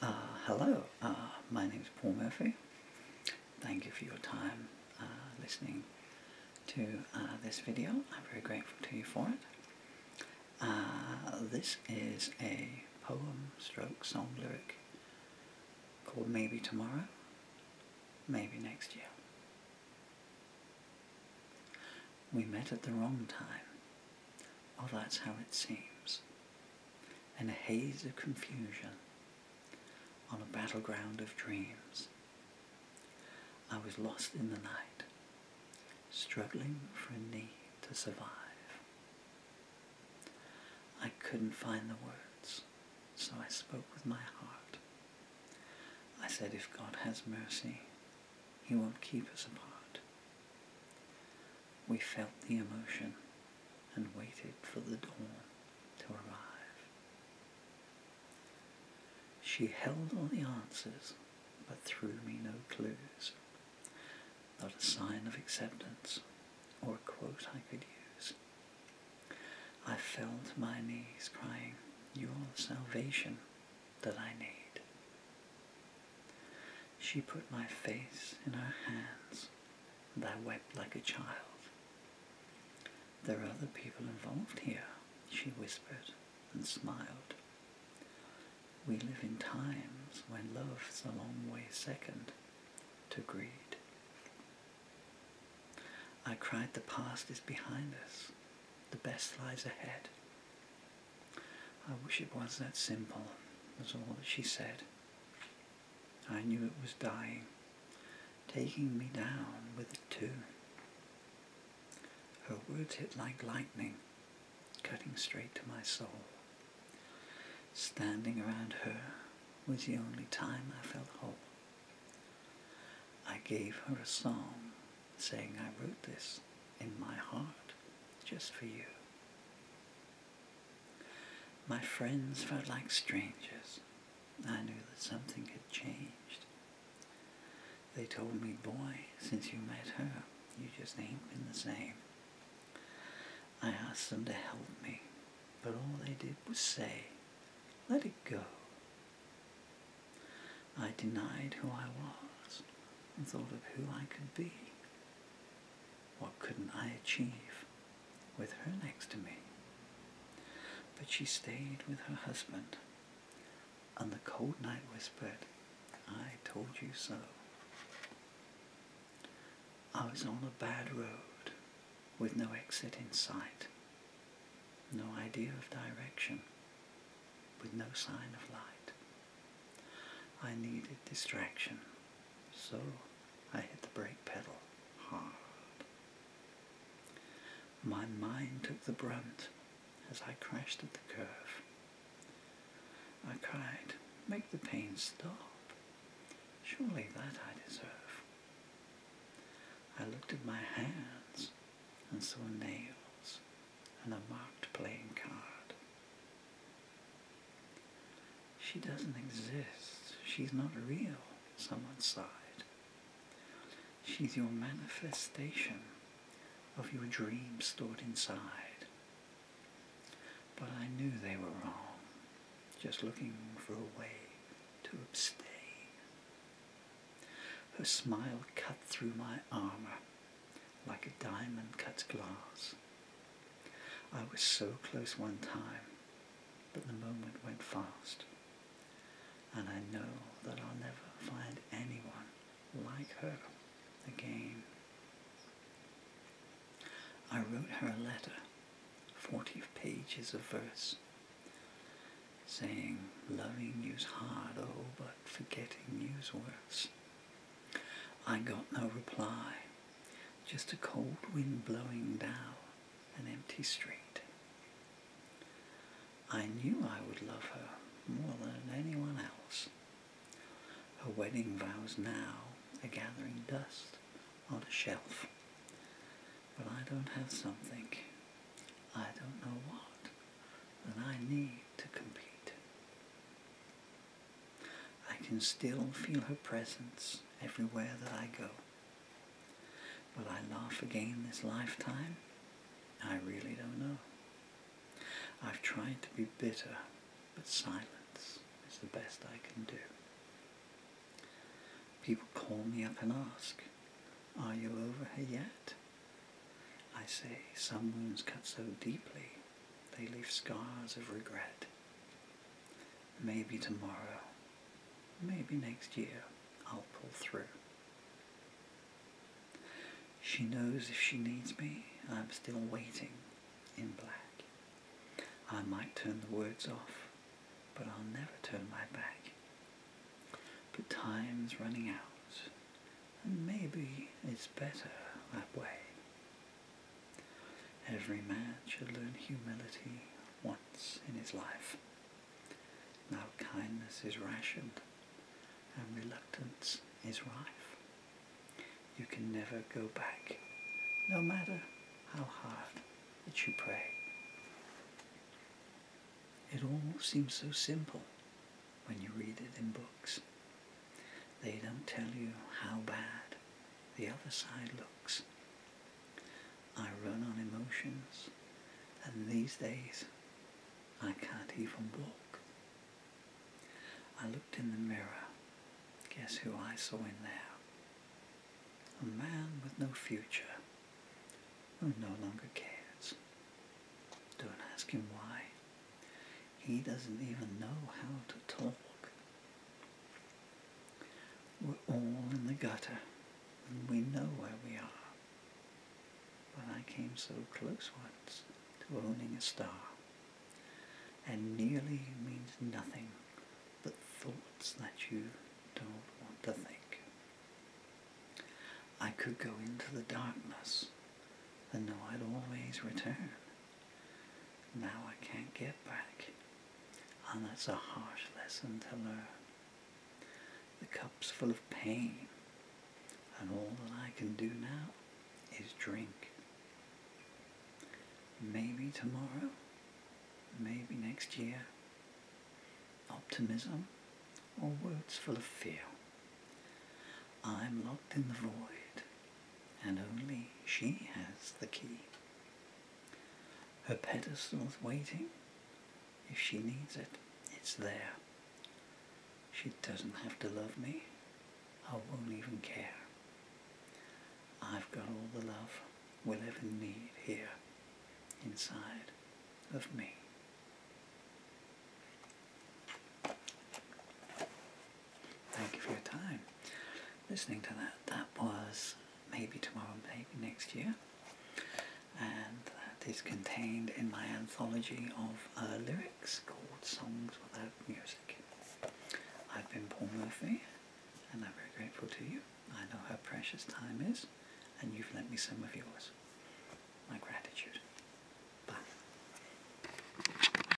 Uh, hello, uh, my name is Paul Murphy. Thank you for your time uh, listening to this video. I'm very grateful to you for it. this is a poem stroke song lyric called Maybe Tomorrow, Maybe Next Year. We met at the wrong time oh, that's how it seems. In a haze of confusion, on a battleground of dreams, I was lost in the night, struggling for a need to survive. I couldn't find the words, so I spoke with my heart. I said, if God has mercy, he won't keep us apart. We felt the emotion and waited for the dawn to arrive. She held on the answers, but threw me no clues, not a sign of acceptance or a quote I could use. I fell to my knees, crying, You're the salvation that I need. She put my face in her hands, and I wept like a child. There are other people involved here, she whispered and smiled. We live in times when love's a long way second to greed. I cried the past is behind us, the best lies ahead. I wish it was that simple, was all that she said. I knew it was dying, taking me down with it too. Her words hit like lightning, cutting straight to my soul. Standing around her was the only time I felt whole. I gave her a song saying I wrote this in my heart just for you. My friends felt like strangers. I knew that something had changed. They told me, boy, since you met her, you just ain't been the same. I asked them to help me, but all they did was say, let it go. I denied who I was and thought of who I could be. What couldn't I achieve with her next to me? But she stayed with her husband, and the cold night whispered, I told you so. I was on a bad road with no exit in sight, no idea of direction, with no sign of light. I needed distraction, so I hit the brake pedal hard. My mind took the brunt as I crashed at the curve. I cried, make the pain stop. Surely that I deserve. I looked at my hands and saw nails and a marked playing card. She doesn't exist. She's not real, someone sighed. She's your manifestation of your dream stored inside. But I knew they were wrong, just looking for a way to abstain. Her smile cut through my armor like a diamond cut glass. I was so close one time, but the moment went fast. And I know that I'll never find anyone like her again. I wrote her a letter, 40 pages of verse, saying, loving you's hard, oh, but forgetting you's worse. I got no reply, just a cold wind blowing down an empty street. I knew I would love her more than anyone else. Her wedding vows now are gathering dust on a shelf. But I don't have something, I don't know what, and I need to complete. I can still feel her presence everywhere that I go. Will I laugh again this lifetime? I really don't know. I've tried to be bitter, but silence is the best I can do. People call me up and ask, Are you over her yet? I say, some wounds cut so deeply they leave scars of regret. Maybe tomorrow, maybe next year, I'll pull through. She knows if she needs me, I'm still waiting in black. I might turn the words off, but I'll never turn my back. But time's running out, and maybe it's better that way. Every man should learn humility once in his life. Now kindness is rationed and reluctance is rife. You can never go back, no matter how hard that you pray. It all seems so simple when you read it in books. They don't tell you how bad the other side looks. I run on emotions, and these days I can't even walk. I looked in the mirror. Guess who I saw in there? A man with no future, who no longer cares. Don't ask him why. He doesn't even know how to talk. We're all in the gutter, and we know where we are. But I came so close once to owning a star, and nearly means nothing but thoughts that you don't want to think. I could go into the darkness and know I'd always return. Now I can't get back, and that's a harsh lesson to learn. The cup's full of pain, and all that I can do now is drink. Maybe tomorrow, maybe next year. Optimism or words full of fear. I'm locked in the void and only she has the key. Her pedestal's waiting. If she needs it, it's there. She doesn't have to love me. I won't even care. I've got all the love we'll ever need here, inside of me. Thank you for your time. Listening to that, that was Maybe Tomorrow, Maybe Next Year. And that is contained in my anthology of uh, lyrics called Songs Without Music. I've been Paul Murphy, and I'm very grateful to you. I know how precious time is, and you've lent me some of yours. My gratitude. Bye.